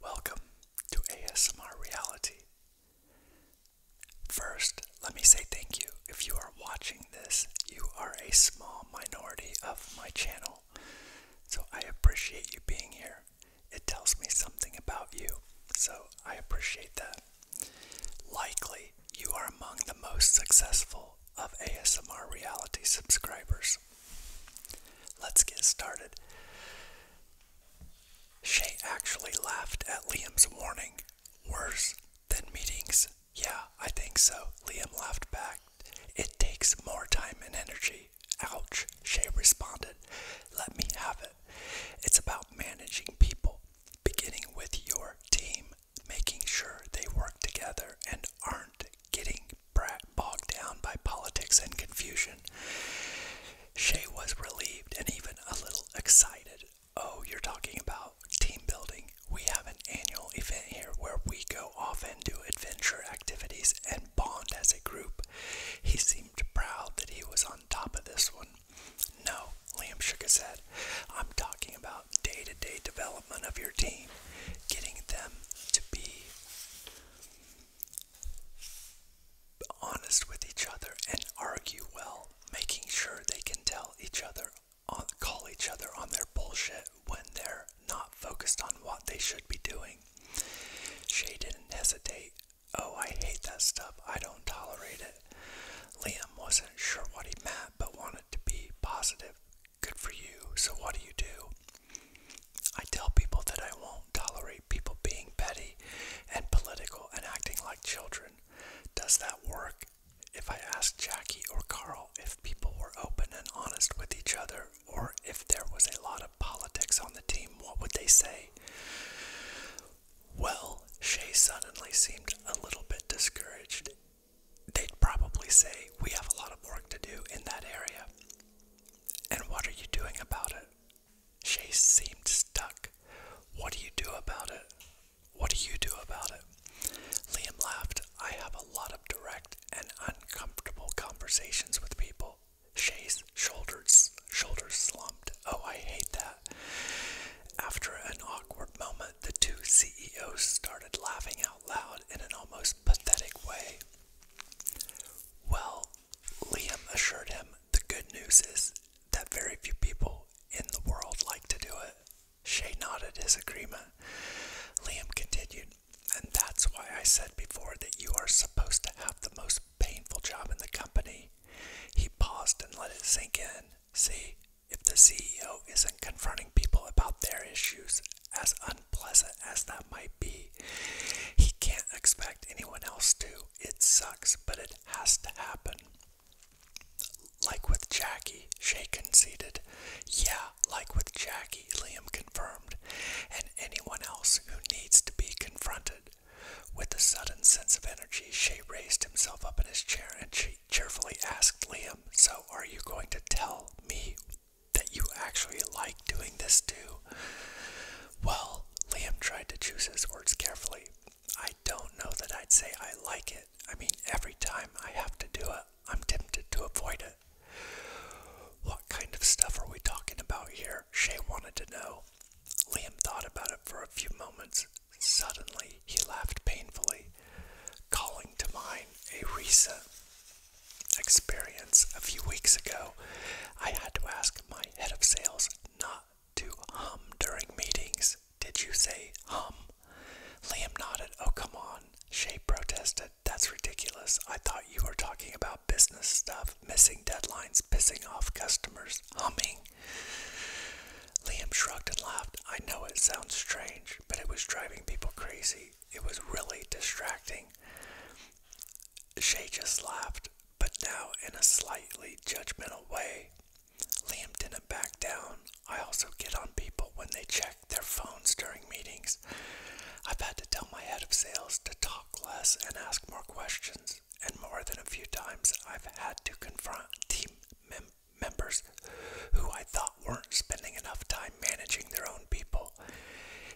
Welcome to ASMR Reality. First, let me say thank you. If you are watching this, you are a small minority of my channel, so I appreciate you being here. It tells me something about you, so I appreciate that. Likely, you are among the most successful of ASMR reality subscribers. Let's get started. Shay actually laughed at Liam's warning. Worse than meetings. Yeah, I think so. Liam laughed back. It takes more time and energy. Ouch, Shay responded. Let me have it. It's about managing people, beginning with your team making sure they work together and aren't getting bogged down by politics and confusion. Shea was relieved and even a little excited. Oh, you're talking about team building. We have an annual event here where we go off and do adventure activities and bond as a group. He seemed proud that he was on top of this one. No, Liam shook his head. I'm talking about day to day development of your team, getting them to be honest with each other and argue well, making sure they can tell each other, on, uh, call each other on their bullshit when they're not focused on what they should be doing. Shay didn't hesitate. Oh, I hate that stuff. I don't tolerate it. Liam wasn't sure what he meant, but want it to be positive. Good for you. So, what do you do? I tell people that I won't tolerate people being petty and political and acting like children. Does that work? If I asked Jackie or Carl if people were open and honest with each other, or if there was a lot of politics on the team, what would they say? Well, Shay suddenly seemed a little bit discouraged they'd probably say, We have a lot of work to do in that area. And what are you doing about it? She seemed stuck. What do you do about it? What do you do about it? Liam laughed. I have a lot of direct and uncomfortable conversations with people. Shay's shoulders shoulders slumped. Oh, I hate that. After an awkward moment, the two CEOs started laughing out loud in an almost pathetic way. Well, Liam assured him, the good news is that very few people in the world like to do it. Shay nodded his agreement. Liam continued, and that's why I said before that you are supposed to have the most painful job in the company. He paused and let it sink in. See, if the CEO isn't confronting people about their issues, as unpleasant as that might be, he can't expect anyone else to. It sucks, but it has to happen. Like with Jackie, Shay conceded. Yeah, like with Jackie, Liam confirmed. And anyone else who needs to be confronted. With a sudden sense of energy, Shay raised himself up in his chair and she. She cheerfully asked Liam, So are you going to tell me that you actually like doing this too? Well, Liam tried to choose his words carefully. I don't know that I'd say I like it. I mean, every time I have to do it, I'm tempted to avoid it. What kind of stuff are we talking about here? Shay wanted to know. Liam thought about it for a few moments. Suddenly he laughed painfully, calling to mind a recent experience a few weeks ago. I had to ask my head of sales not to hum during meetings. Did you say hum? Liam nodded. Oh, come on. Shay protested. That's ridiculous. I thought you were talking about business stuff, missing deadlines, pissing off customers, humming. Liam shrugged and laughed. I know it sounds strange, but it was driving people crazy. It was really distracting. Shay just laughed, but now in a slightly judgmental way. Liam didn't back down. I also get on people when they check their phones during meetings. I've had to tell my head of sales to talk less and ask more questions, and more than a few times I've had to confront team members members who I thought weren't spending enough time managing their own people.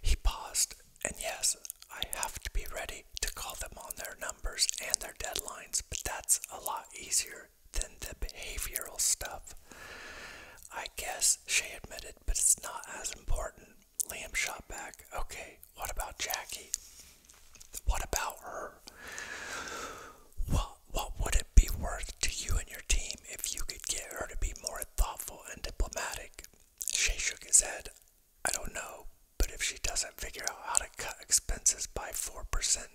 He paused, and yes, I have to be ready to call them on their numbers and their deadlines, but that's a lot easier than the behavioral stuff. I guess, she admitted, but it's not as important. Liam shot back, okay, what about Jackie? What about her? What, what would it be worth to you and your team if you could get her to be more thoughtful and diplomatic? Shay shook his head. I don't know, but if she doesn't figure out how to cut expenses by 4%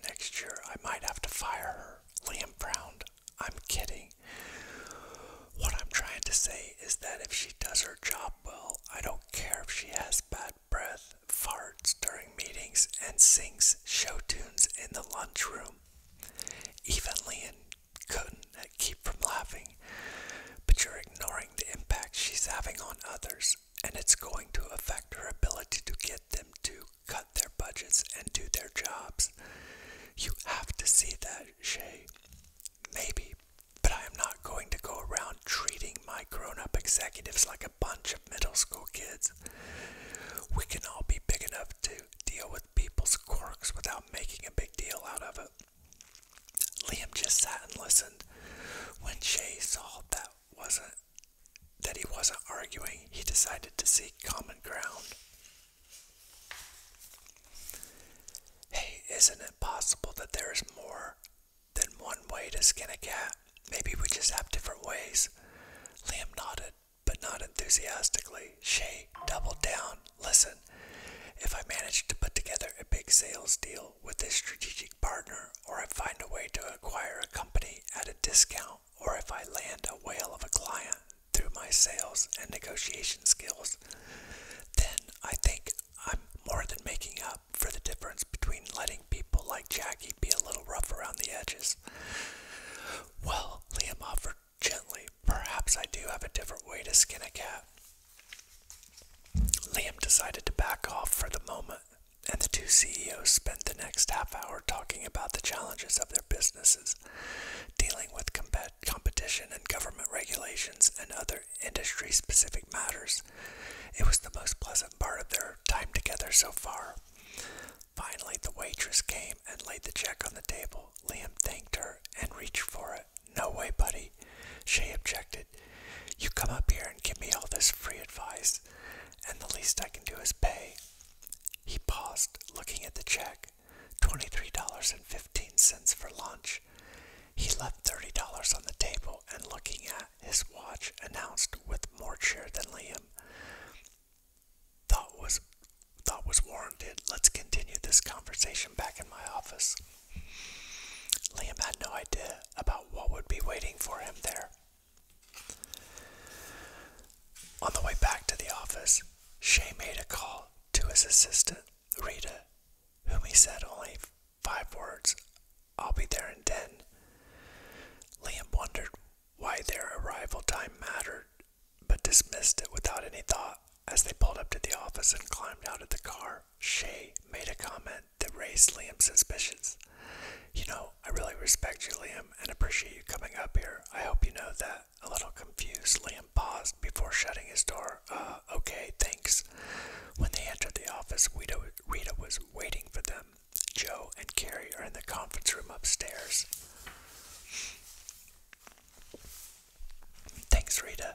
next year, I might have to fire her. Liam frowned. I'm kidding. What I'm trying to say is that if she does her job well, I don't care if she has bad breath farts during meetings and sings show tunes in the lunchroom. Even Leon couldn't keep from laughing. But you're ignoring the impact she's having on others, and it's going to affect her ability to get them to cut their budgets and do their jobs. You have to see that, Shay. Maybe, but I am not going to go around treating my grown up executives like a bunch of middle school kids. We can all be big enough to deal with people's quirks without making a big deal out of it. Liam just sat and listened. When Shay saw that wasn't that he wasn't arguing, he decided to seek common ground. Hey, isn't it possible that there is more than one way to skin a cat. Maybe we just have different ways. Liam nodded, but not enthusiastically. Shay doubled down. Listen, if I manage to put together a big sales deal with a strategic partner, or I find a way to acquire a company at a discount, or if I land a whale of a client through my sales and negotiation skills, then I think I'm more than making up for the difference between letting people like Jackie be a little rough around the edges. Well, Liam offered gently, perhaps I do have a different way to skin a cat. Liam decided to back off for the moment, and the two CEOs spent the next half hour talking about the challenges of their businesses, dealing with competition and government regulations and other industry specific matters. It was the most pleasant part of their time together so far. Finally, the waitress came and laid the check on the table. Liam thanked her and reached for it. No way, buddy, she objected. You come up here and give me all this free advice, and the least I can do is pay. He paused, looking at the check $23.15 for lunch. He left $30 on the table and looking at his watch announced with more cheer than Liam thought was thought was warranted. Let's continue this conversation back in my office. Liam had no idea about what would be waiting for him there. On the way back to the office, Shay made a call to his assistant, Rita, whom he said only five words I'll be there in 10. Liam wondered why their arrival time mattered, but dismissed it without any thought. As they pulled up to the office and climbed out of the car, Shay made a comment that raised Liam's suspicions. You know, I really respect you, Liam, and appreciate you coming up here. I hope you know that. A little confused, Liam paused before shutting his door. Uh, okay, thanks. When they entered the office, Rita, Rita was waiting for them. Joe and Carrie are in the conference room upstairs. Thanks, Rita.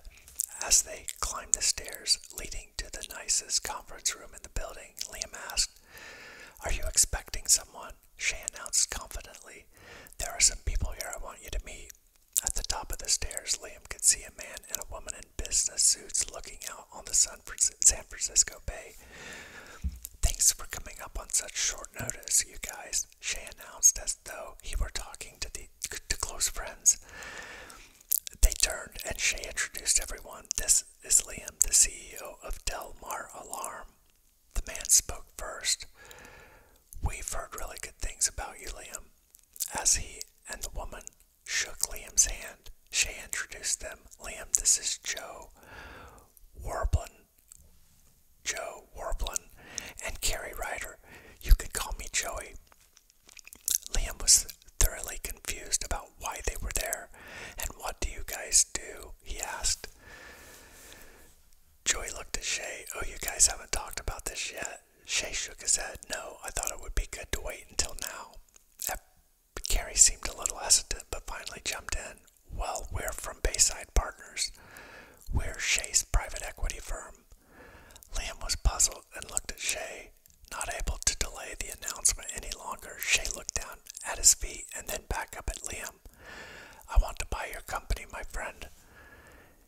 As they climbed the stairs leading to the nicest conference room in the building, Liam asked, Are you expecting someone? She announced confidently. There are some people here I want you to meet. At the top of the stairs, Liam could see a man and a woman in business suits looking out on the San San Francisco Bay. Thanks for coming up on such short notice, you guys, Shay announced as though he were talking to, the, to close friends. They turned and Shay introduced everyone. This is Liam, the CEO of Delmar Alarm. The man spoke first. We've heard really good things about you, Liam. As he and the woman shook Liam's hand. Shay introduced them. Liam, this is Joe Warblin. Joe Warblin and Carrie Ryder. You can call me Joey. Liam was thoroughly confused about why they were there. And what do you guys do? He asked. Joey looked at Shay. Oh, you guys haven't talked about this yet. Shay shook his head. No, I thought it would be good to wait until now. Carrie seemed a little hesitant, but finally jumped in. Well, we're from Bayside Partners. We're Shay's private equity firm. Liam was puzzled and looked at Shay. Not able to delay the announcement any longer, Shay looked down at his feet and then back up at Liam. I want to buy your company, my friend.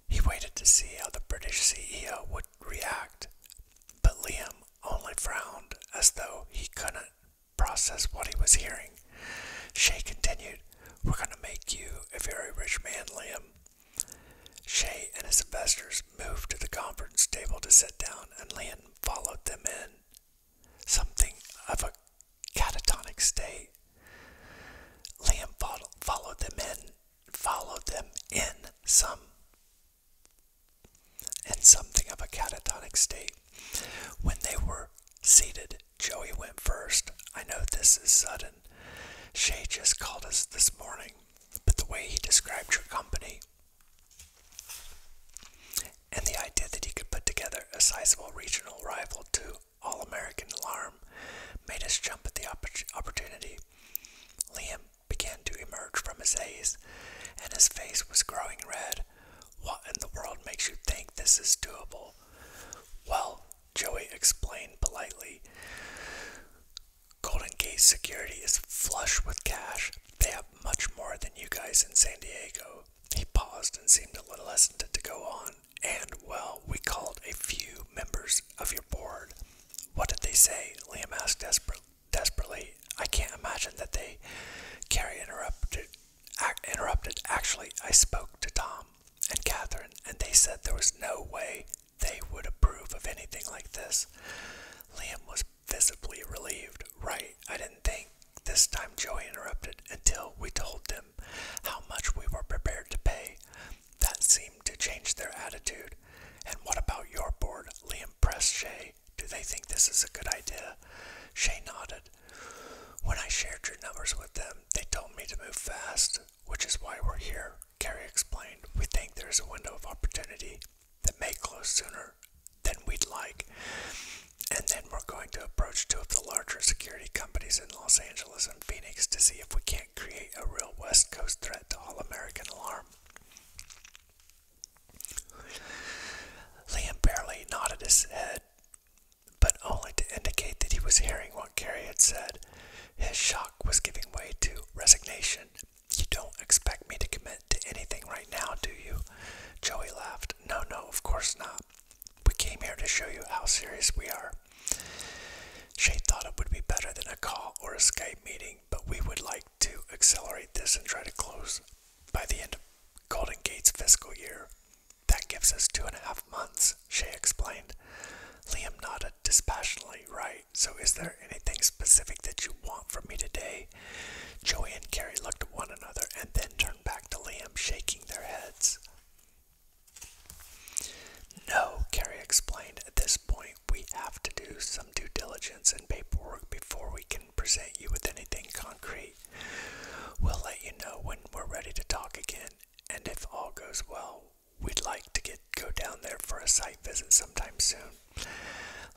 He waited to see how the British CEO would react, but Liam only frowned as though he couldn't process what he was hearing. Shay continued, We're going to make you a very rich man, Liam. Shay and his investors moved to the conference table to sit down, and Liam followed them in. Something of a catatonic state. Liam followed them in, followed them in some and something of a catatonic state. When they were seated, Joey went first. I know this is sudden. Shay just called us this morning, but the way he described your company and the idea that he could put together a sizable regional rival to All American Alarm made us jump at the opportunity. Liam began to emerge from his haze, and his face was growing red. What in the world makes you think this is doable? Well, Joey explained politely. Golden Gate Security is flush with cash. They have much more than you guys in San Diego. He paused and seemed a little hesitant to go on. And, well, we called a few members of your board. What did they say? Liam asked desperately desperately. I can't imagine that they Carrie interrupted, interrupted. Actually, I spoke to Tom and Catherine, and they said there was no way they would approve of anything like this. Liam was visibly relieved. Right, I didn't think. This time Joey interrupted until we told them how much we were prepared to pay. That seemed to change their attitude. And what about your board? Liam impressed Shay. Do they think this is a good idea? Shay nodded. When I shared your numbers with them, they told me to move fast, which is why we're here, Carrie explained. We think there's a window of opportunity that may close sooner than we'd like, and then we're going to approach two of the larger security companies in Los Angeles and Phoenix to see if we can't create a real West Coast threat to all American alarm. Liam barely nodded his head, but only to indicate that he was hearing what Carrie had said. His shock was giving way to resignation. You don't expect me to commit to anything right now, do you? Joey laughed. No, no, of course not. We came here to show you how serious we are. Shay thought it would be better than a call or a Skype meeting, but we would like to accelerate this and try to close by the end of Golden Gate's fiscal year. That gives us two and a half months, she explained. Liam nodded dispassionately, right? So is there anything specific that you want from me today? Joey and Carrie looked at one another and then turned back to Liam, shaking their heads. No, Carrie explained. At this point, we have to do some due diligence and paperwork before we can present you with anything concrete. We'll let you know when we're ready to talk again, and if all goes well, we'd like to get go down there for a site visit sometime soon.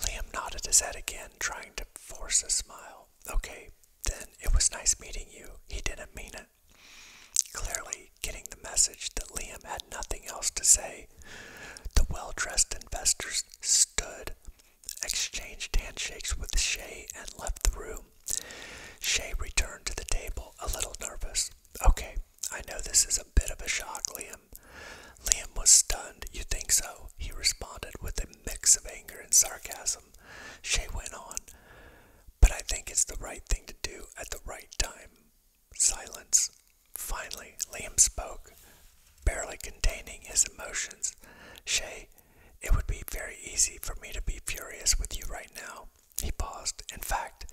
Liam nodded his head again, trying to force a smile. Okay, then it was nice meeting you. He didn't mean it. Clearly, getting the message that Liam had nothing else to say, the well dressed investors stood, exchanged handshakes with Shay, and left the room. Shay returned to the table, a little nervous. Okay, I know this is a bit of a shock, Liam. Liam was stunned. You think so? He responded with a mix of anger and sarcasm. Shay went on, but I think it's the right thing to do at the right time. Silence. Finally, Liam spoke, barely containing his emotions. Shay, it would be very easy for me to be furious with you right now. He paused. In fact,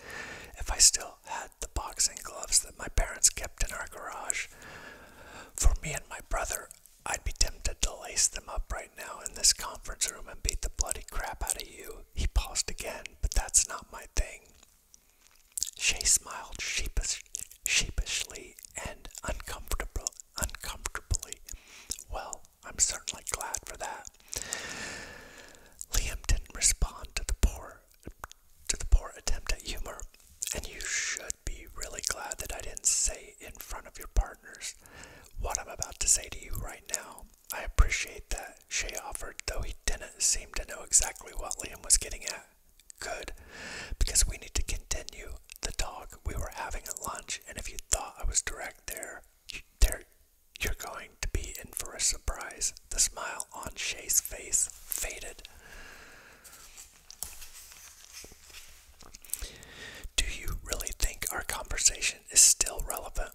if I still had the boxing gloves that my parents kept in our garage, for me and my brother, I'd be tempted to lace them up right now in this conference room and beat the bloody crap out of you. He paused again, but that's not my thing. She smiled sheepishly and uncomfortably. Well, I'm certainly glad for that. Liam didn't respond to the poor, to the poor attempt at humor, and you should be really glad that I didn't say in front of your partners what I'm about to say to you right now. I appreciate that, Shay offered, though he didn't seem to know exactly what Liam was getting at. Good. Because we need to continue the talk we were having at lunch, and if you thought I was direct there, there you're going to be in for a surprise. The smile on Shay's face faded. Do you really think our conversation is still relevant?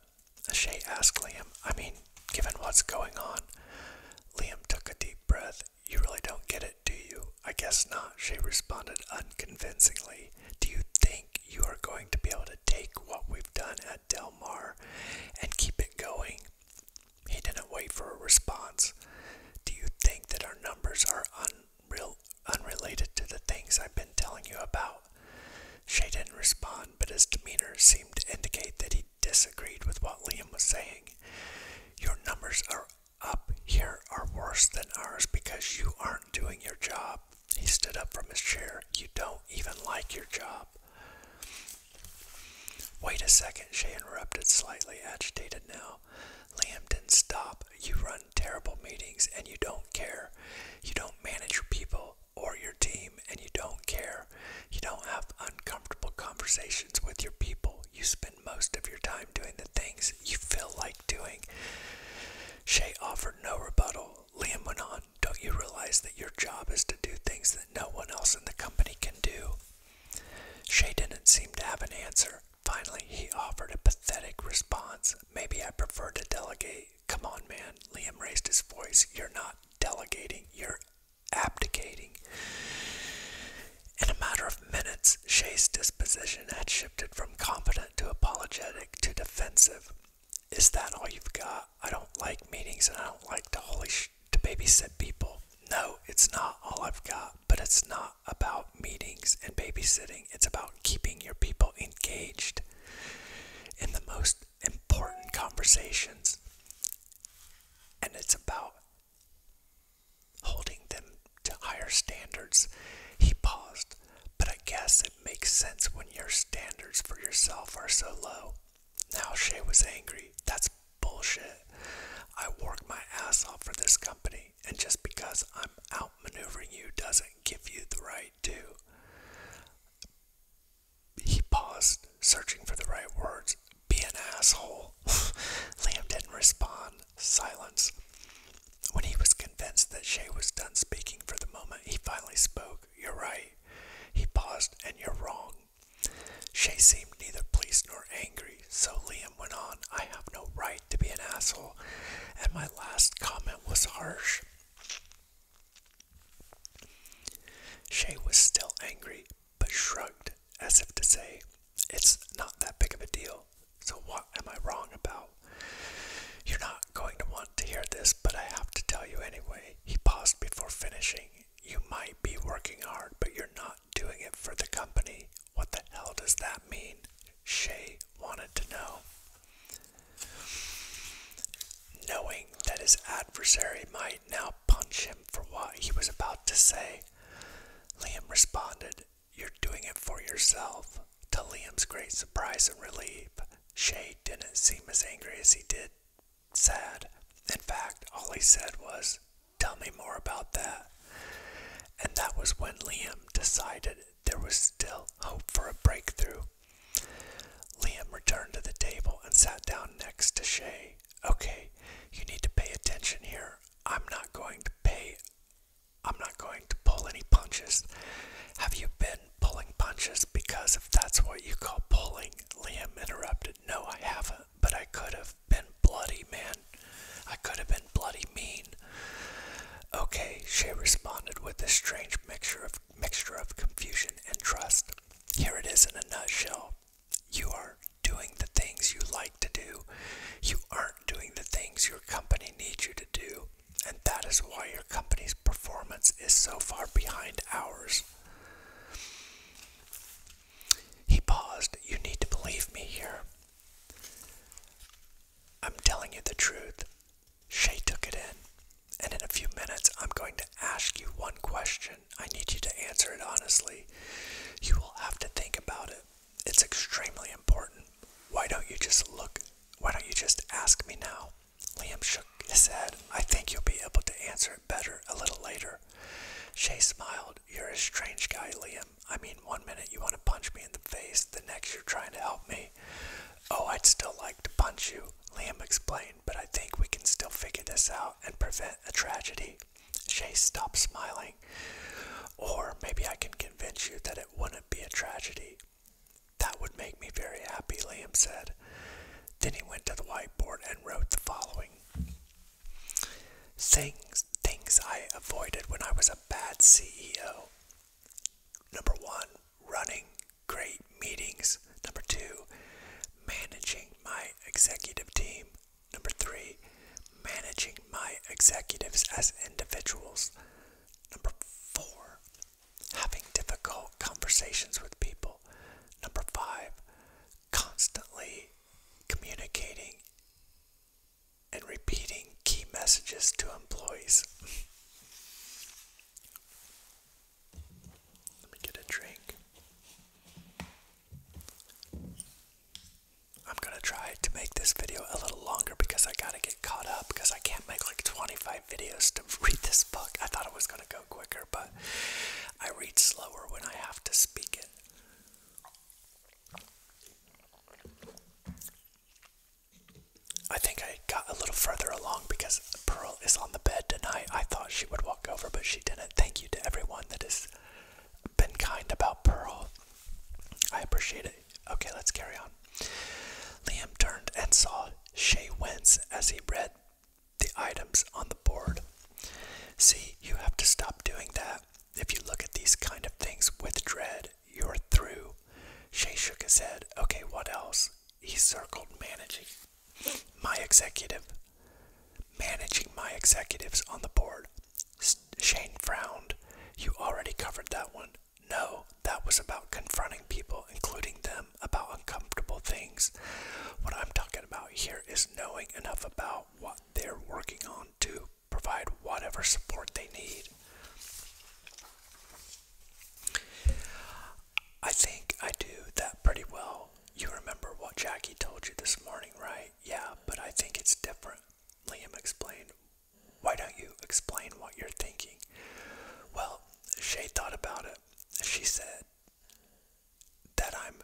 Shay asked Liam. I mean, given what's going on. Liam took a deep breath you really don't get it, do you? I guess not, she responded unconvincingly. Do you think you are going to be able to take what we've done at Del Mar and keep it going? He didn't wait for a response. Do you think that our numbers are unreal, unrelated to the things I've been telling you about? She didn't respond, but his demeanor seemed to indicate that he disagreed with what Liam was saying. Your numbers are up here are worse than ours because you aren't doing your job. He stood up from his chair. You don't even like your job. Wait a second, she interrupted, slightly agitated now. Liam didn't stop. You run terrible meetings and you don't care. You don't manage your people or your team and you don't care. You don't have uncomfortable conversations with your people. You spend most of your time doing the things you feel like doing. Shay offered no rebuttal. Liam went on, Don't you realize that your job is to do things that no one else in the company can do? Shay didn't seem to have an answer. Finally, he offered a pathetic response. Maybe I prefer to delegate. Come on, man. Liam raised his voice. You're not delegating, you're abdicating. In a matter of minutes, Shay's disposition had shifted from confident to apologetic to defensive. Is that all you've got? I don't like meetings and I don't like to holy to babysit people. No, it's not all I've got, but it's not about meetings and babysitting. It's about keeping your people engaged in the most important conversations. And it's about holding them to higher standards. He paused, but I guess it makes sense when your standards for yourself are so low. Now Shay was angry. That's bullshit. I work my ass off for this company, and just because I'm outmaneuvering you doesn't give you the right to. He paused, searching for the right words. Be an asshole. Liam didn't respond. Silence. When he was convinced that Shay was done speaking for the moment, he finally spoke. You're right. He paused, and you're wrong. Shay seemed neither pleased nor angry, so Liam went on, I have no right to be an asshole, and my last comment was harsh. Shay was still angry, but shrugged as if to say, It's not that big of a deal, so what am I wrong about? You're not going to want to hear this, but I have to tell you anyway. He paused before finishing. You might be working hard, but you're not doing it for the company. What the hell does that mean? Shay wanted to know. Knowing that his adversary might now punch him for what he was about to say. Liam responded, You're doing it for yourself. To Liam's great surprise and relief, Shay didn't seem as angry as he did sad. In fact, all he said was, Tell me more about that. And that was when Liam decided there was still hope for a breakthrough. Liam returned to the table and sat down next to Shay okay, you need to pay attention here. I'm not going to pay, I'm not going to pull any punches. Have you been pulling punches? Because if that's what you call pulling, Liam interrupted. No, I haven't, but I could have been bloody, man. I could have been bloody mean. Okay, she responded with a strange mixture of mixture of confusion and trust. Here it is in a nutshell you are doing the things you like to do. You aren't doing the things your company needs you to do. And that is why your company's performance is so far behind ours. He paused. You need to believe me here. I'm telling you the truth. Shay took it in. And in a few minutes, I'm going to ask you one question. I need you to answer it honestly. You will have to think about it. It's extremely important. Why don't you just look? Why don't you just ask me now? Liam shook his head. I think you'll be able to answer it better a little later. Shay smiled. You're a strange guy, Liam. I mean, one minute you want to punch me in the face, the next you're trying to help me. Oh, I'd still like to punch you, Liam explained, but I think we can still figure this out and prevent a tragedy. Shay stopped smiling. Or maybe I can convince you that it wouldn't be a tragedy. That would make me very happy, Liam said. Then he went to the whiteboard and wrote the following Things, things I avoided when I was a bad CEO. Number one, running great meetings. Number two, managing my executive team. Number three, managing my executives as individuals. Number four, having difficult conversations with people. Number five, constantly communicating and repeating key messages to employees. Let me get a drink. I'm gonna try to make this video a little longer because I gotta get caught up because I can't make like 25 videos to read this book. I thought it was gonna go quicker, but I read slower when I have to speak it. I think I got a little further along because Pearl is on the bed tonight. I thought she would walk over, but she didn't thank you to everyone that has been kind about Pearl. I appreciate it. Okay, let's carry on. Liam turned and saw Shay Wentz as he read the items on the board. See, you have to stop doing that. If you look at these kind of things with dread, you're through. Shay shook his head. Okay, what else? He circled managing my executive, managing my executives on the board. Shane frowned. You already covered that one. No, that was about confronting people, including them, about uncomfortable things. What I'm talking about here is knowing enough about what they're working on to provide whatever support they need. I think I do that pretty well you remember what Jackie told you this morning, right? Yeah, but I think it's different. Liam explained. Why don't you explain what you're thinking? Well, Shay thought about it. She said that I'm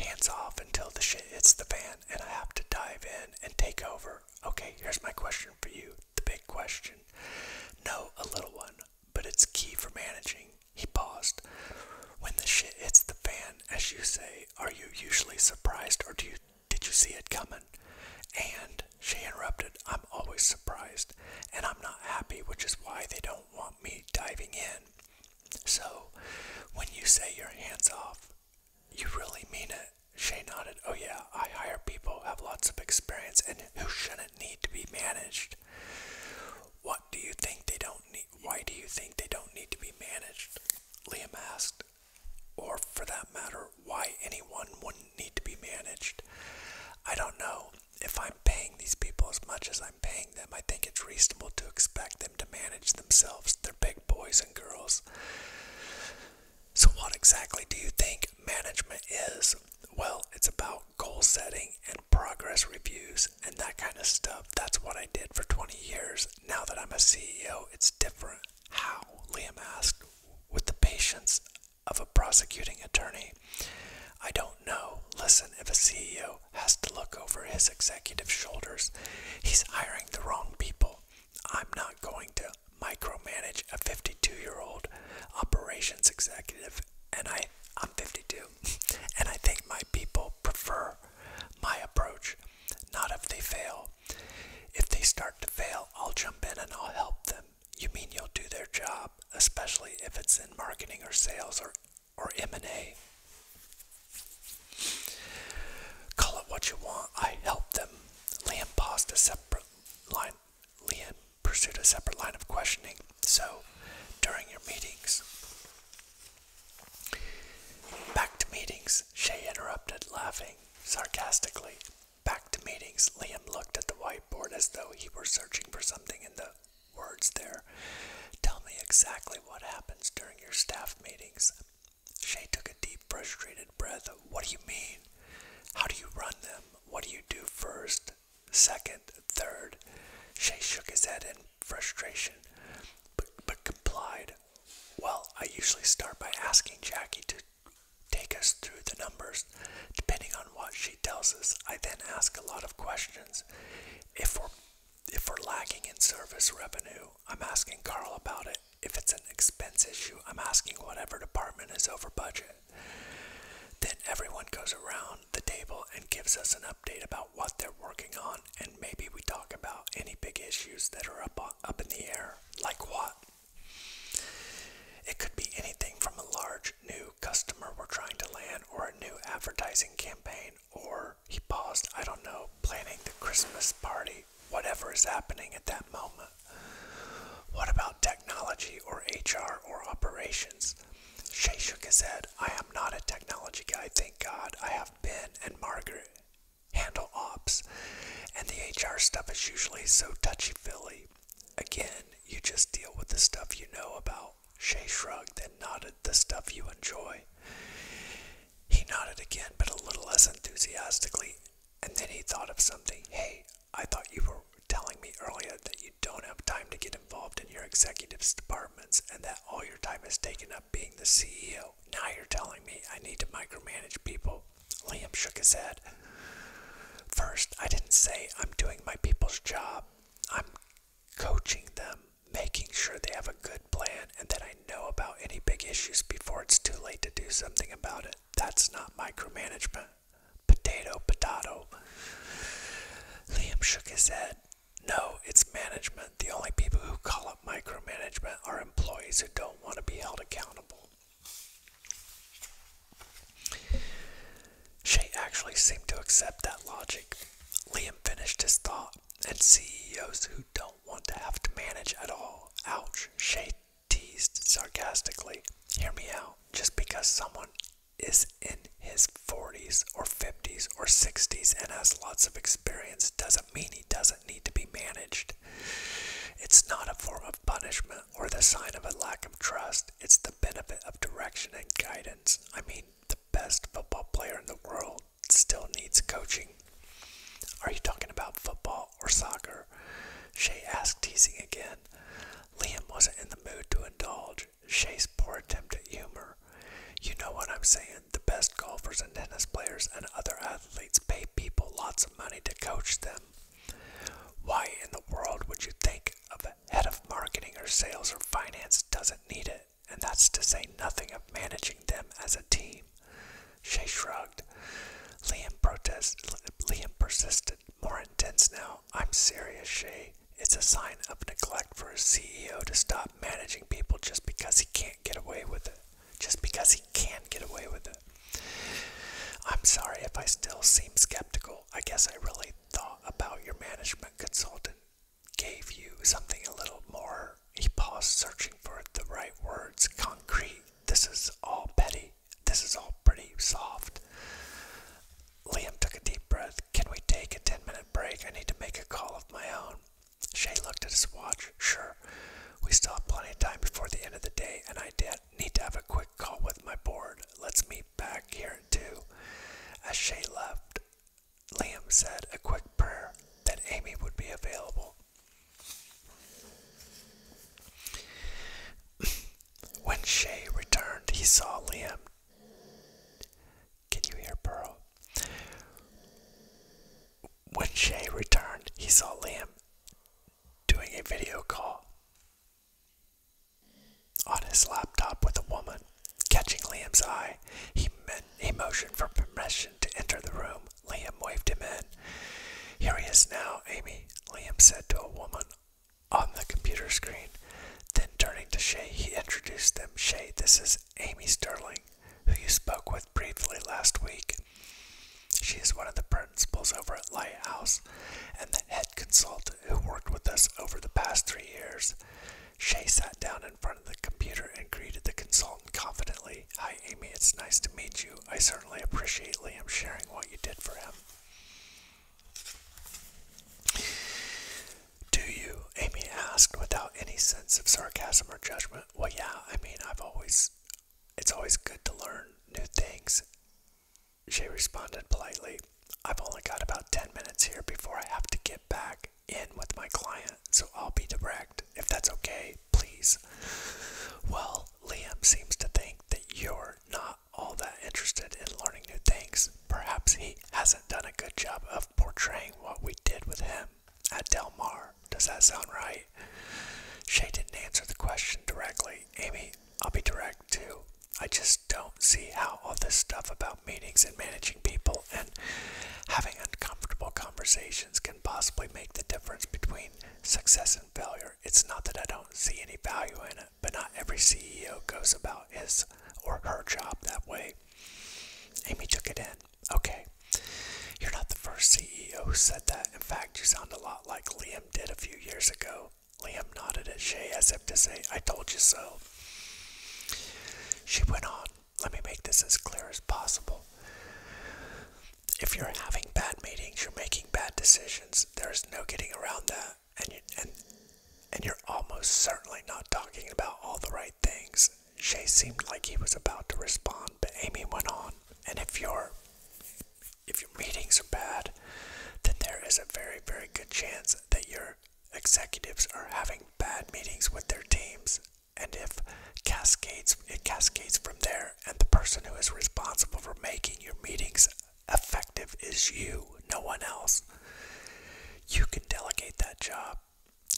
hands off until the shit hits the fan and I have to dive in and take over. Okay, here's my question for you the big question. No, a little one, but it's key for managing. He paused. When the shit hits the fan, as you say, are you usually surprised or do you did you see it coming? And she interrupted, I'm always surprised, and I'm not happy, which is why they don't want me diving in. So, when you say your hands off, you really mean it. She nodded, Oh, yeah, I hire people who have lots of experience and who shouldn't need to be managed. What do you think they don't why do you think they don't need to be managed? Liam asked. Or for that matter, why anyone wouldn't need to be managed. I don't know. If I'm paying these people as much as I'm paying them, I think it's reasonable to expect them to manage themselves. They're big boys and girls. So, what exactly do you think management is? Well, it's about goal setting and progress reviews and that kind of stuff. That's what I did for 20 years. Now that I'm a CEO, it's different. How? Liam asked. With the patience of a prosecuting attorney. I don't know. Listen, if a CEO has to look over his executive shoulders, he's hiring the wrong people. I'm not going to micromanage a 52 year old operations executive, and I, I'm 52. And I think my people prefer my approach, not if they fail. If they start to fail, I'll jump in and I'll help them. You mean you'll do their job, especially if it's in marketing or sales or or M&A. Call it what you want. I help them. Liam paused a separate line. Liam pursued a separate line of questioning. So, during your meetings, Back to meetings, Shay interrupted, laughing sarcastically. Back to meetings, Liam looked at the whiteboard as though he were searching for something in the words there. Tell me exactly what happens during your staff meetings. Shay took a deep, frustrated breath. What do you mean? How do you run them? What do you do first? second, third. Shay shook his head in frustration, but, but complied. Well, I usually start by asking Jackie to take us through the numbers. Depending on what she tells us, I then ask a lot of questions. If we're if we're lacking in service revenue, I'm asking Carl about it. If it's an expense issue, I'm asking whatever department is over budget. Then everyone goes around the table and gives us an update about what they're working on, and maybe we talk about any big issues that are up, up in the air. Like what? It could be anything from a large new customer we're trying to land, or a new advertising campaign, or he paused, I don't know, planning the Christmas party, whatever is happening at that moment. What about technology or HR or operations? Shay shook his head. I am not a technology guy, thank God. I have Ben and Margaret handle ops, and the HR stuff is usually so touchy feely. Again, you just deal with the stuff you know about. Shay shrugged and nodded the stuff you enjoy. He nodded again, but a little less enthusiastically, and then he thought of something. Hey, I thought you were telling me earlier that you don't have time to get involved in your executive's departments and that all your time is taken up being the CEO. Now you're telling me I need to micromanage people. Liam shook his head. First, I didn't say I'm doing my people's job. I'm coaching them, making sure they have a good plan and that I know about any big issues before it's too late to do something about it. That's not micromanagement. Potato, potato. Liam shook his head. No, it's management. The only people who call it micromanagement are employees who don't want to be held accountable. Shay actually seemed to accept that logic. Liam finished his thought, and CEOs who don't want to have to manage at all. Ouch, Shay teased sarcastically. Hear me out. Just because someone is in his 40s or 50s or 60s and has lots of experience doesn't mean he doesn't need to be managed. It's not a form of punishment or the sign of a lack of trust. It's the benefit of direction and guidance. I mean, the best football player in the world still needs coaching. Are you talking about football or soccer? Shay asked, teasing again. Liam wasn't in the mood to indulge indulge Shay's poor attempt at humor. You know what I'm saying. The best golfers and tennis players and other athletes pay people lots of money to coach them. Why in the world would you think a head of marketing or sales or finance doesn't need it? And that's to say nothing of managing them as a team. Shay shrugged. Liam, protested. Liam persisted, more intense now. I'm serious, Shay it's a sign of neglect for a CEO to stop managing people just because he can't get away with it. Just because he can not get away with it. I'm sorry if I still seem skeptical. I guess I really thought about your management consultant gave you something a little more. He paused, searching for the right words. Concrete. This is all petty. This is all pretty soft. Liam took a deep breath. Can we take a 10 minute break? I need to make a call of my own. Shay looked at his watch. Sure. We still have plenty of time before the end of the day, and I did need to have a quick call with my board. Let's meet back here at 2. As Shay left, Liam said a quick prayer that Amy would be available. when Shay returned, he saw Liam can you hear Pearl? When Shay returned, he saw Liam doing a video call on his laptop with a woman. Catching Liam's eye, he, made a motion for permission to enter the room. Liam waved him in. Here he is now, Amy, Liam said to a woman on the computer screen. Then turning to Shay, he introduced them. Shay, this is Amy Sterling, who you spoke with briefly last week. She is one of the principals over at Lighthouse and the head consultant who worked with us over the past three years. Shay sat down in front of the computer and greeted the consultant confidently. Hi, Amy, it's nice to meet you. I certainly appreciate Liam sharing what you did for him. Do you? Amy asked without any sense of sarcasm or judgment. Well, yeah, I mean, I've always, it's always good to learn new things. She responded politely. I've only got about 10 minutes here before I have to get back in with my client, so I'll be direct. If that's okay, please. Well, Liam seems to think that you're not all that interested in learning new things. Perhaps he hasn't done a good job of portraying what we did with him at Del Mar. Does that sound right? Shay didn't answer the question directly. Amy, I'll be direct too. I just don't see how all this stuff about meetings and managing people and having uncomfortable conversations can possibly make the difference between success and failure. It's not that I don't see any value in it. But not every CEO goes about his or her job that way. Amy took it in. Okay. You're not the first CEO who said that. In fact, you sound a lot like Liam did a few years ago. Liam nodded at Shay as if to say, I told you so. She went on, Let me make this as clear as possible. If you're having bad meetings, you're making bad decisions. There is no getting around that and you, and and you're almost certainly not talking about all the right things. Shay seemed like he was about to respond, but Amy went on. And if your if your meetings are bad, then there is a very very good chance that your executives are having bad meetings with their teams. And if cascades it cascades from there, and the person who is responsible for making your meetings effective is you, no one else. You can delegate that job.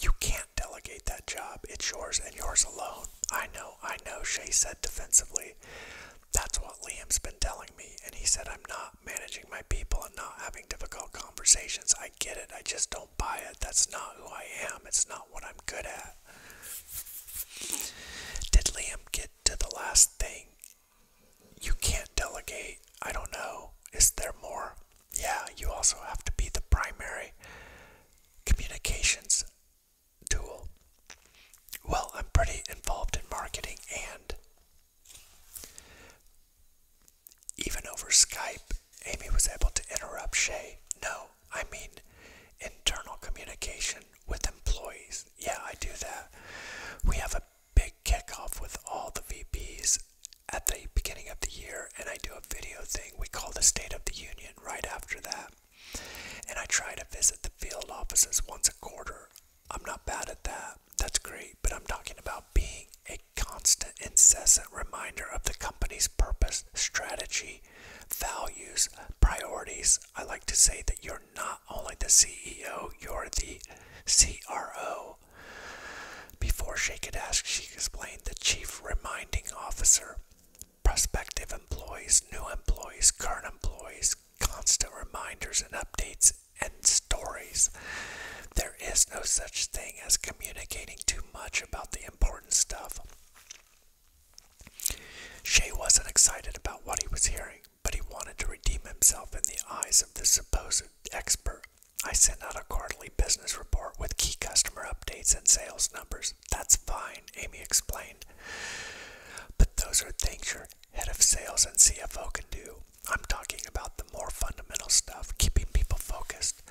You can't delegate that job. It's yours and yours alone. I know, I know, Shay said defensively. That's what Liam's been telling me, and he said I'm not managing my people and not having difficult conversations. I get it, I just don't buy it. That's not who I am, it's not what I'm good at. Did Liam get to the last thing you can't delegate. I don't know. Is there more? Yeah, you also have to be the primary communications tool. Well, I'm pretty involved in marketing and even over Skype, Amy was able to interrupt Shay. No, I mean internal communication with employees. Yeah, I do that. We have a big kickoff with all the VPs at the beginning of the year, and I do a video thing we call the State of the Union right after that. And I try to visit the field offices once a quarter. I'm not bad at that. That's great, but I'm talking about being a constant, incessant reminder of the company's purpose, strategy, values, priorities. I like to say that you're not only the CEO, you're the CRO. Before she could ask, she explained the chief reminding officer, prospective employees, new employees, current employees, constant reminders and updates and stories. There is no such thing as communicating too much about the important stuff. Shay wasn't excited about what he was hearing but he wanted to redeem himself in the eyes of the supposed expert. I sent out a quarterly business report with key customer updates and sales numbers. That's fine, Amy explained. But those are things your head of sales and CFO can do. I'm talking about the more fundamental stuff, keeping people focused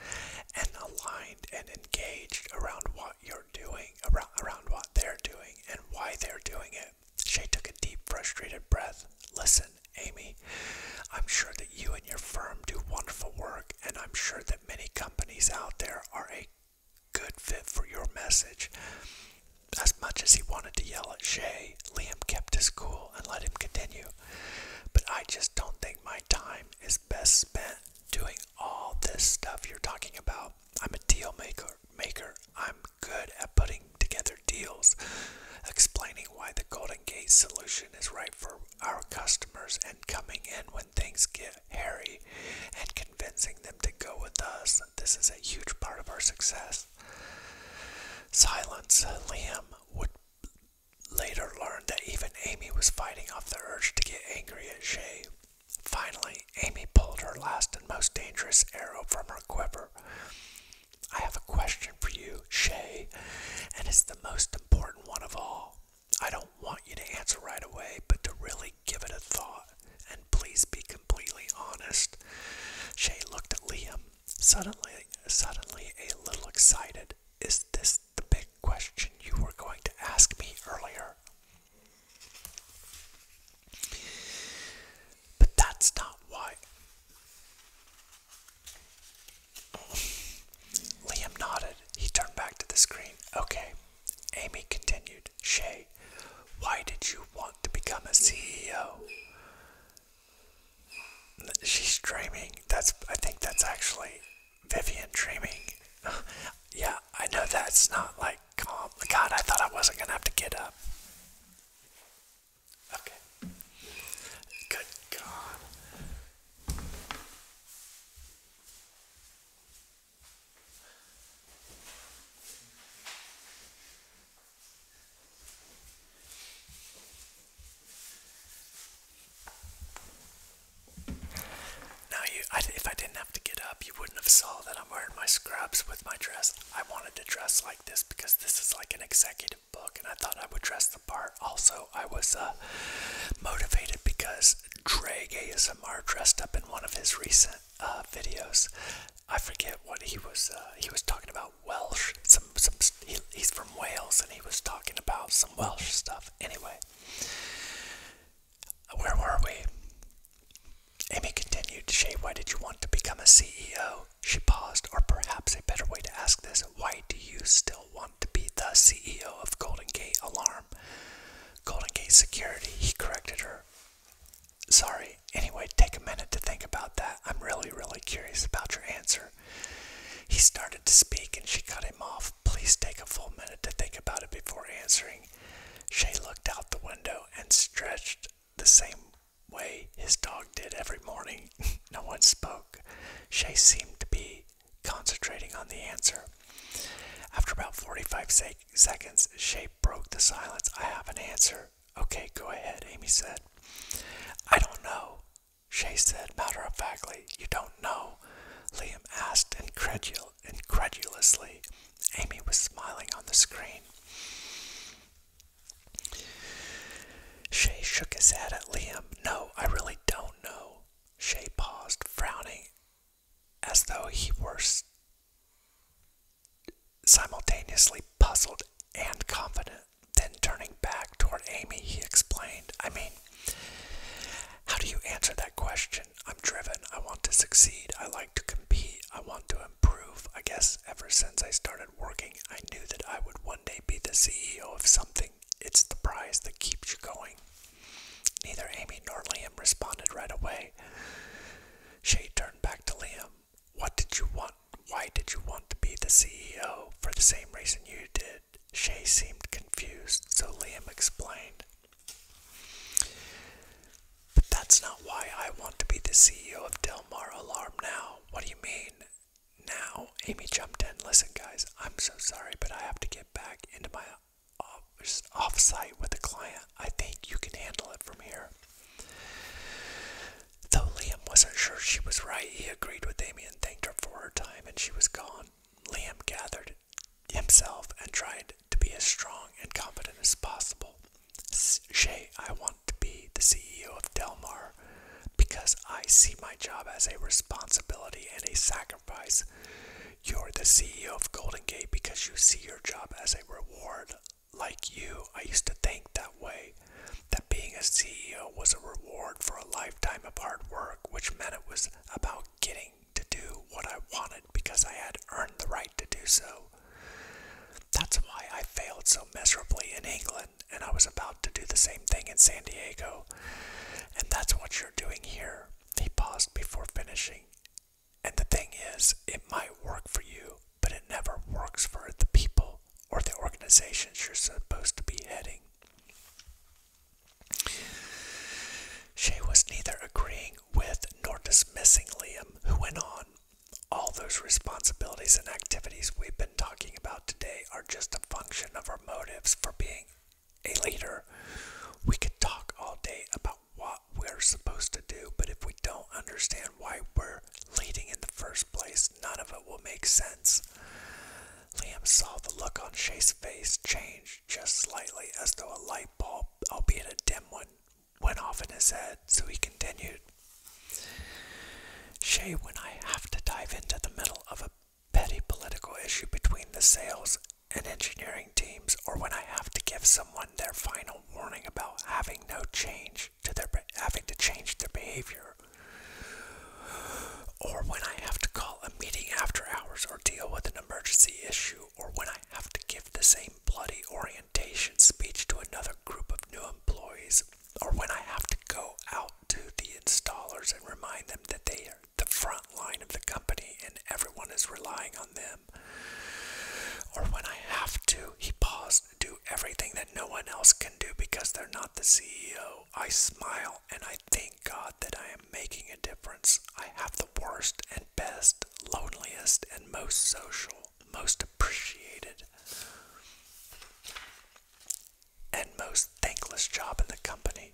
and aligned and engaged around what you're doing, around, around what they're doing, and why they're doing it it. Shay took a deep, frustrated breath. Listen, Amy, I'm sure that you and your firm do wonderful work, and I'm sure that many companies out there are a good fit for your message. As much as he wanted to yell at Shay, Liam kept his cool and let him continue. But I just don't think my time is best spent doing all this stuff you're talking about. I'm a deal maker, maker, I'm good at putting together deals, explaining why the Golden Gate solution is right for our customers, and coming in when things get hairy and convincing them to go with us. This is a huge part of our success. Silence, Liam would later learn that even Amy was fighting off the urge to get angry at Shay. Finally, Amy pulled her last and most dangerous arrow from her quiver. I have a question for you, Shay, and it's the most important one of all. I don't want you to answer right away, but to really give it a thought, and please be completely honest. Shay looked at Liam, suddenly, suddenly a little excited. Is this the big question you were going to ask me earlier? But that's not why. Liam nodded. He turned back to the screen. Okay. Amy continued. Shay, why did you want to become a CEO? She's dreaming. That's. I think that's actually Vivian dreaming. yeah, I know that's not like calm. God, I thought I wasn't gonna have to get up. Okay. Good God. Now you, if I didn't have to get up, you wouldn't have saw that I'm wearing my scrubs with my dress I wanted to dress like this because this is like an executive book, and I thought I would dress the part. Also, I was uh, motivated because Drag ASMR dressed up in one of his recent uh, videos. I forget what he was. Uh, he was talking about Welsh. Some some. he's from Wales, and he was talking about some Welsh stuff. Anyway, where were we? Amy continued, Shay, why did you want to become a CEO? She paused, or perhaps a better way to ask this, why do you still want to be the CEO of Golden Gate Alarm? Golden Gate Security, he corrected her. Sorry, anyway, take a minute to think about that. I'm really, really curious about your answer. He started to speak and she cut him off. Please take a full minute to think about it before answering. Shay looked out the window and stretched the same way his dog did every morning. no one spoke. Shay seemed to be concentrating on the answer. After about 45 sec seconds, Shay broke the silence. I have an answer. Okay, go ahead, Amy said. I don't know, Shay said matter of factly. You don't know? Liam asked incredul incredulously. Amy was smiling on the screen. Shay shook his head at Liam. No, I really don't know. Shay paused, frowning, as though he were simultaneously puzzled and confident. Then, turning back toward Amy, he explained, I mean, how do you answer that question? I'm driven. I want to succeed. I like." to compete. I want to improve. I guess ever since I started working, I knew that I would one day be the CEO of something. It's the prize that keeps you going. Neither Amy nor Liam responded right away. Shay turned back to Liam. What did you want? Why did you want to be the CEO? For the same reason you did. Shay seemed confused, so Liam explained. But that's not why I want to be the CEO of Delmar Alarm now. What do you mean? Now, Amy jumped in. Listen, guys, I'm so sorry, but I have to get back into my office offsite with a client. I think you can handle it from here. Though Liam wasn't sure she was right, he agreed with Amy and thanked her for her time, and she was gone. Liam gathered himself and tried to be as strong and confident as possible. Shay, I want to be the CEO of Delmar because I see my job as a responsibility and a sacrifice. You're the CEO of Golden Gate because you see your job as a reward. Like you, I used to think that way that being a CEO was a reward for a lifetime of hard work, which meant it was about getting to do what I wanted because I had earned the right to do so. That's why I failed so miserably in England, and I was about to do the same thing in San Diego. And that's what you're doing here. He paused before finishing. And the thing is, it might work for you, but it never works for the people or the organizations you're supposed to be heading. She was neither agreeing with nor dismissing Liam, who went on. All those responsibilities and activities we've been talking about today are just a function of our motives for being a leader. We could talk all day about what we're supposed to do, but if we don't understand why we're leading in the first place, none of it will make sense. Liam saw the look on Shay's face change just slightly as though a light bulb, albeit a dim one, went off in his head, so he continued. Shay, when I have to dive into the middle of a petty political issue between the sales and engineering teams, or when I have to give someone their final warning about having no change to their having to change their behavior, or when I have to call a meeting after hours or deal with an emergency issue, or when I have to give the same same bloody orientation speech to another group of new employees, or when I have to go out to the installers and remind them that they are the front line of the company and everyone is relying on them. Or when I have to, he paused, do everything that no one else can do because they're not the CEO. I smile and I thank God that I am making a difference. I have the worst and best, loneliest and most social most appreciated and most thankless job in the company.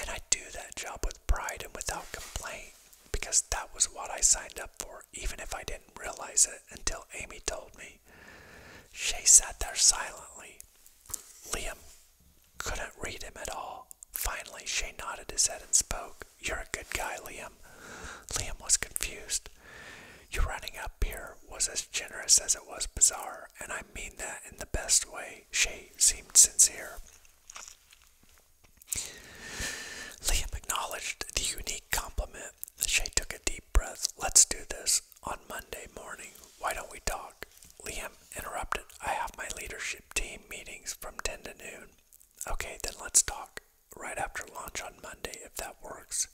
And I do that job with pride and without complaint because that was what I signed up for, even if I didn't realize it until Amy told me. Shay sat there silently. Liam couldn't read him at all. Finally, Shay nodded his head and spoke. You're a good guy, Liam. Liam was confused. Your running up here was as generous as it was bizarre, and I mean that in the best way. She seemed sincere. Liam acknowledged the unique compliment. Shay took a deep breath. Let's do this on Monday morning. Why don't we talk? Liam interrupted. I have my leadership team meetings from 10 to noon. Okay, then let's talk right after launch on Monday if that works.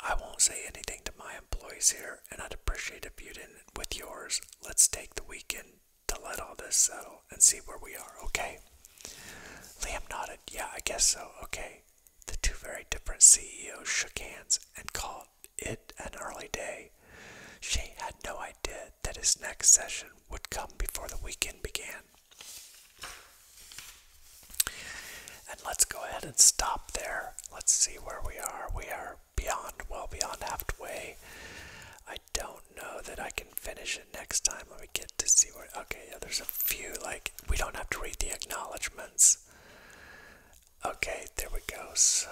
I won't say anything to my employees here, and I'd appreciate if you didn't with yours. Let's take the weekend to let all this settle and see where we are, okay? Liam nodded. Yeah, I guess so, okay. The two very different CEOs shook hands and called it an early day. She had no idea that his next session would come before the weekend began. And let's go ahead and stop there. Let's see where we are. We are beyond, well beyond halfway. I don't know that I can finish it next time. Let me get to see where. Okay, yeah, there's a few. Like, we don't have to read the acknowledgments. Okay, there we go. So,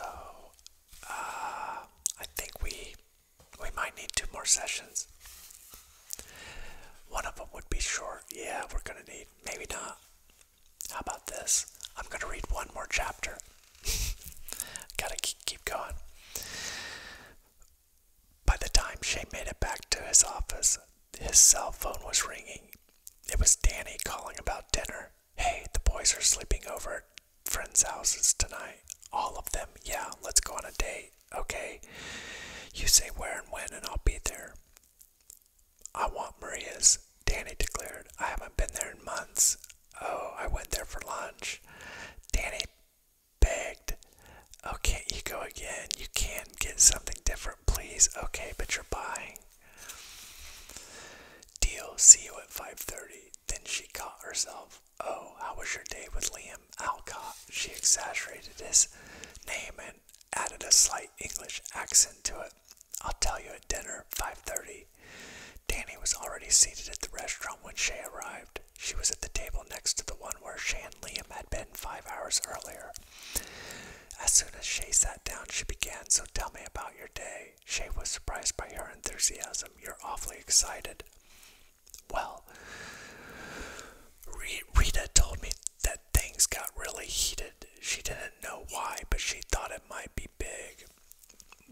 uh, I think we we might need two more sessions. One of them would be short. Yeah, we're going to need. Maybe not. How about this? I'm going to read one more chapter. Gotta keep going. By the time Shane made it back to his office, his cell phone was ringing. It was Danny calling about dinner. Hey, the boys are sleeping over at friends' houses tonight. All of them. Yeah, let's go on a date. Okay? You say where and when, and I'll be there. I want Maria's, Danny declared. I haven't been there in months. Oh, I went there for lunch. Danny begged. Oh, can't you go again? You can't get something different, please. Okay, but you're buying. Deal, see you at 5.30. Then she caught herself. Oh, how was your day with Liam? Alcott, she exaggerated his name and added a slight English accent to it. I'll tell you at dinner, 5.30. Danny was already seated at the restaurant when Shay arrived. She was at the table next to the one where Shay and Liam had been five hours earlier. As soon as Shay sat down, she began, so tell me about your day. Shay was surprised by her enthusiasm. You're awfully excited. Well, Rita told me that things got really heated. She didn't know why, but she thought it might be big.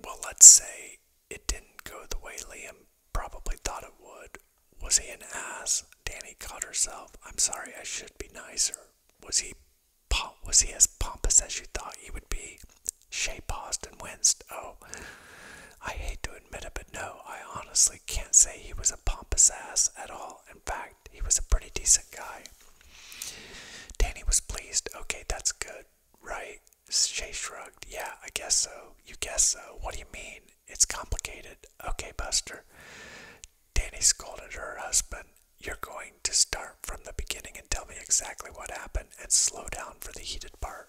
Well, let's say it didn't go the way Liam probably thought it would. Was he an ass? Danny caught herself. I'm sorry, I should be nicer. Was he was he as pompous as you thought he would be? She paused and winced. Oh, I hate to admit it, but no, I honestly can't say he was a pompous ass at all. In fact, he was a pretty decent guy. Danny was pleased. Okay, that's good, right? Shay shrugged. Yeah, I guess so. You guess so. What do you mean? It's complicated. Okay, Buster. Danny scolded her husband. You're going to start from the beginning and tell me exactly what happened and slow down for the heated part.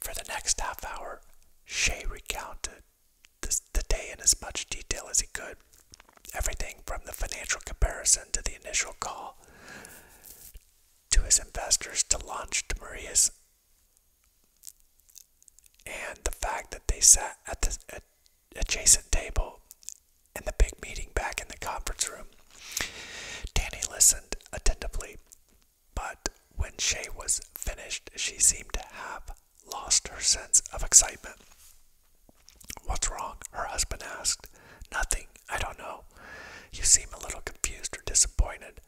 For the next half hour, Shea recounted the day in as much detail as he could. Everything from the financial comparison to the initial call to his investors to launch to Maria's and the fact that they sat at the adjacent table in the big meeting back in the conference room. Danny listened attentively, but when Shay was finished, she seemed to have lost her sense of excitement. What's wrong? her husband asked. Nothing, I don't know. You seem a little confused or disappointed.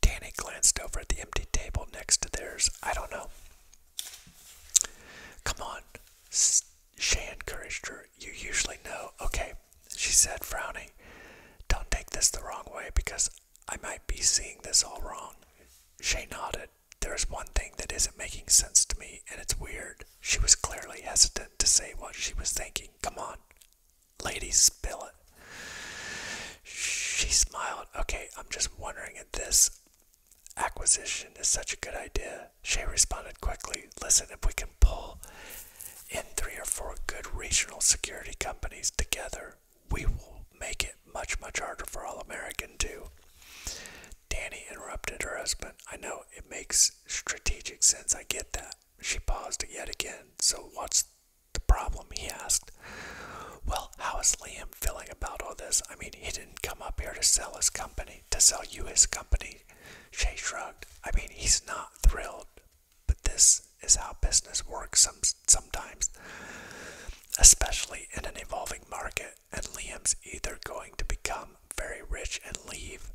Danny glanced over at the empty table next to theirs. I don't know. Come on, Shay encouraged her. You usually know. Okay, she said, frowning. Don't take this the wrong way because I might be seeing this all wrong. Shay nodded. There is one thing that isn't making sense to me, and it's weird. She was clearly hesitant to say what she was thinking. Come on, lady, spill it. She smiled. Okay, I'm just wondering if this acquisition is such a good idea. Shay responded quickly. Listen, if we can pull in three or four good regional security companies together, we will make it much, much harder for all American to. Danny interrupted her husband. I know it makes strategic sense. I get that. She paused yet again. So what's the problem? He asked. Well, how is Liam feeling about all this? I mean, he didn't come up here to sell his company, to sell you his company. Shay shrugged. I mean, he's not thrilled, but this is how business works some, sometimes, especially in an evolving market. And Liam's either going to become very rich and leave,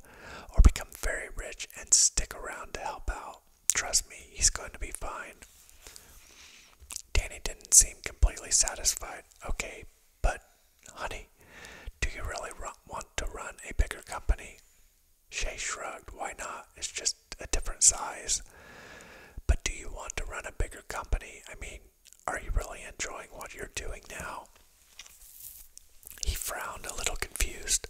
or become very rich and stick around to help out. Trust me, he's going to be fine. Danny didn't seem completely satisfied. Okay, but honey, do you really want to run a bigger company? She shrugged. Why not? It's just a different size. But do you want to run a bigger company? I mean, are you really enjoying what you're doing now? He frowned, a little confused.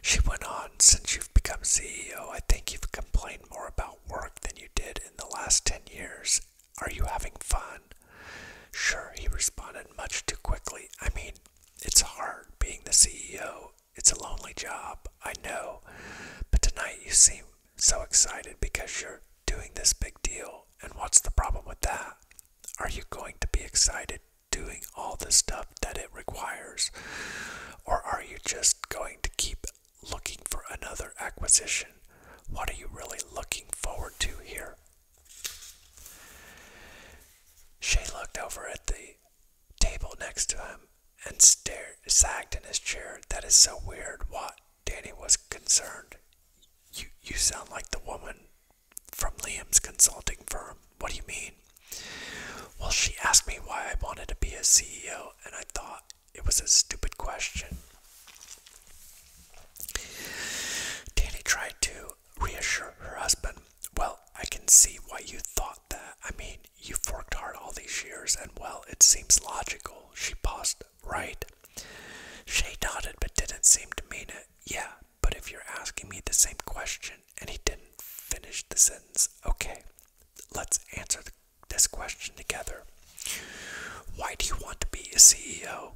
She went on, Since you've become CEO, I think you've complained more about work than you did in the last 10 years. Are you having fun? Sure, he responded much too quickly. I mean, it's hard being the CEO it's a lonely job, I know. But tonight you seem so excited because you're doing this big deal. And what's the problem with that? Are you going to be excited doing all the stuff that it requires? Or are you just going to keep looking for another acquisition? What are you really looking forward to here? She looked over at the table next to him and stared, sagged in his chair. That is so weird. What? Danny was concerned. You, you sound like the woman from Liam's consulting firm. What do you mean? Well, she asked me why I wanted to be a CEO, and I thought it was a stupid question. Danny tried to reassure her husband, well, I can see why you thought that. I mean, you've worked hard all these years, and well, it seems logical. She paused, right? She nodded but didn't seem to mean it. Yeah, but if you're asking me the same question, and he didn't finish the sentence, okay, let's answer this question together. Why do you want to be a CEO?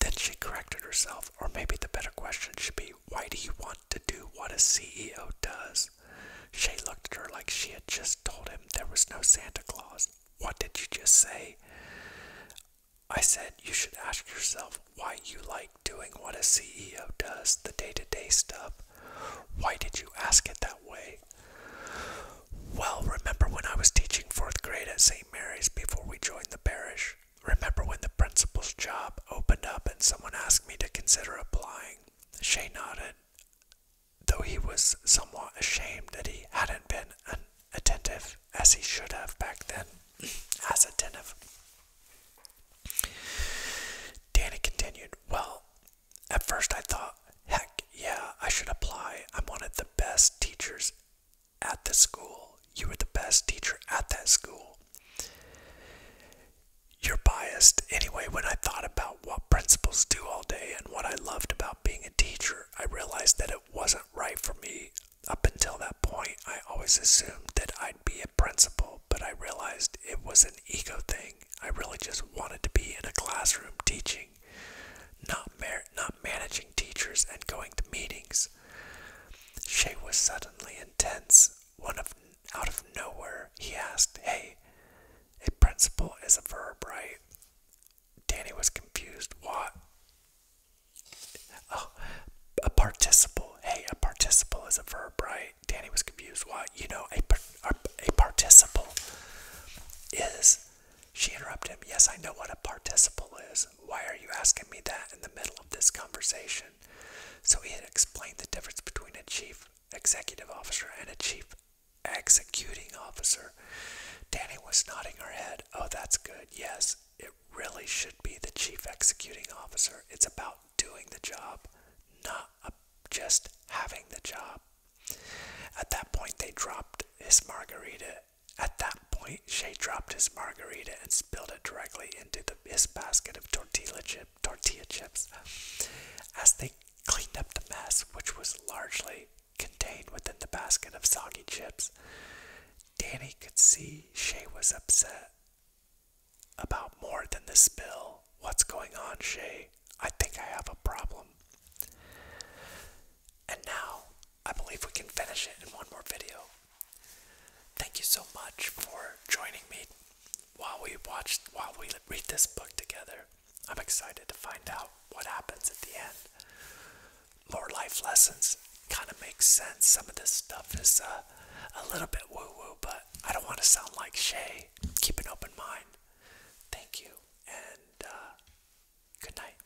Then she corrected herself, or maybe the better question should be, why do you want to do what a CEO does? Shay looked at her like she had just told him there was no Santa Claus. What did you just say? I said you should ask yourself why you like doing what a CEO does, the day to day stuff. Why did you ask it that way? Well, remember when I was teaching fourth grade at St. Mary's before we joined the parish? Remember when the principal's job opened up and someone asked me to consider applying? Shay nodded, though he was somewhat ashamed that he hadn't been attentive as he should have back then. as attentive. Danny continued, Well, at first I thought, heck yeah, I should apply. I'm one of the best teachers at the school. You were the best teacher at that school. You're biased. Anyway, when I thought about what principals do all day and what I loved about being a teacher, I realized that it wasn't right for me. Up until that point, I always assumed that I'd be a principal, but I realized it was an ego thing. I really just wanted to be in a classroom teaching, not, not managing teachers and going to meetings. She was suddenly intense, one of out of nowhere, he asked, Hey, a principal is a verb, right? Danny was confused. What? Oh, a participle. Hey, a participle is a verb, right? Danny was confused. What? You know, a, a participle is. She interrupted him. Yes, I know what a participle is. Why are you asking me that in the middle of this conversation? So he had explained the difference between a chief executive officer and a chief executing officer. Danny was nodding her head. Oh, that's good. Yes, it really should be the chief executing officer. It's about doing the job, not just having the job. At that point, they dropped his margarita. At that point, Shay dropped his margarita and spilled it directly into the, his basket of tortilla chips tortilla chips as they cleaned up the mess which was largely contained within the basket of soggy chips. Danny could see Shay was upset about more than the spill. What's going on, Shay? I think I have a problem. And now I believe we can finish it in one more video. Thank you so much for joining me while we watch, while we read this book together. I'm excited to find out what happens at the end. More life lessons kind of makes sense. Some of this stuff is uh, a little bit woo woo, but I don't want to sound like Shay. Keep an open mind. Thank you, and uh, good night.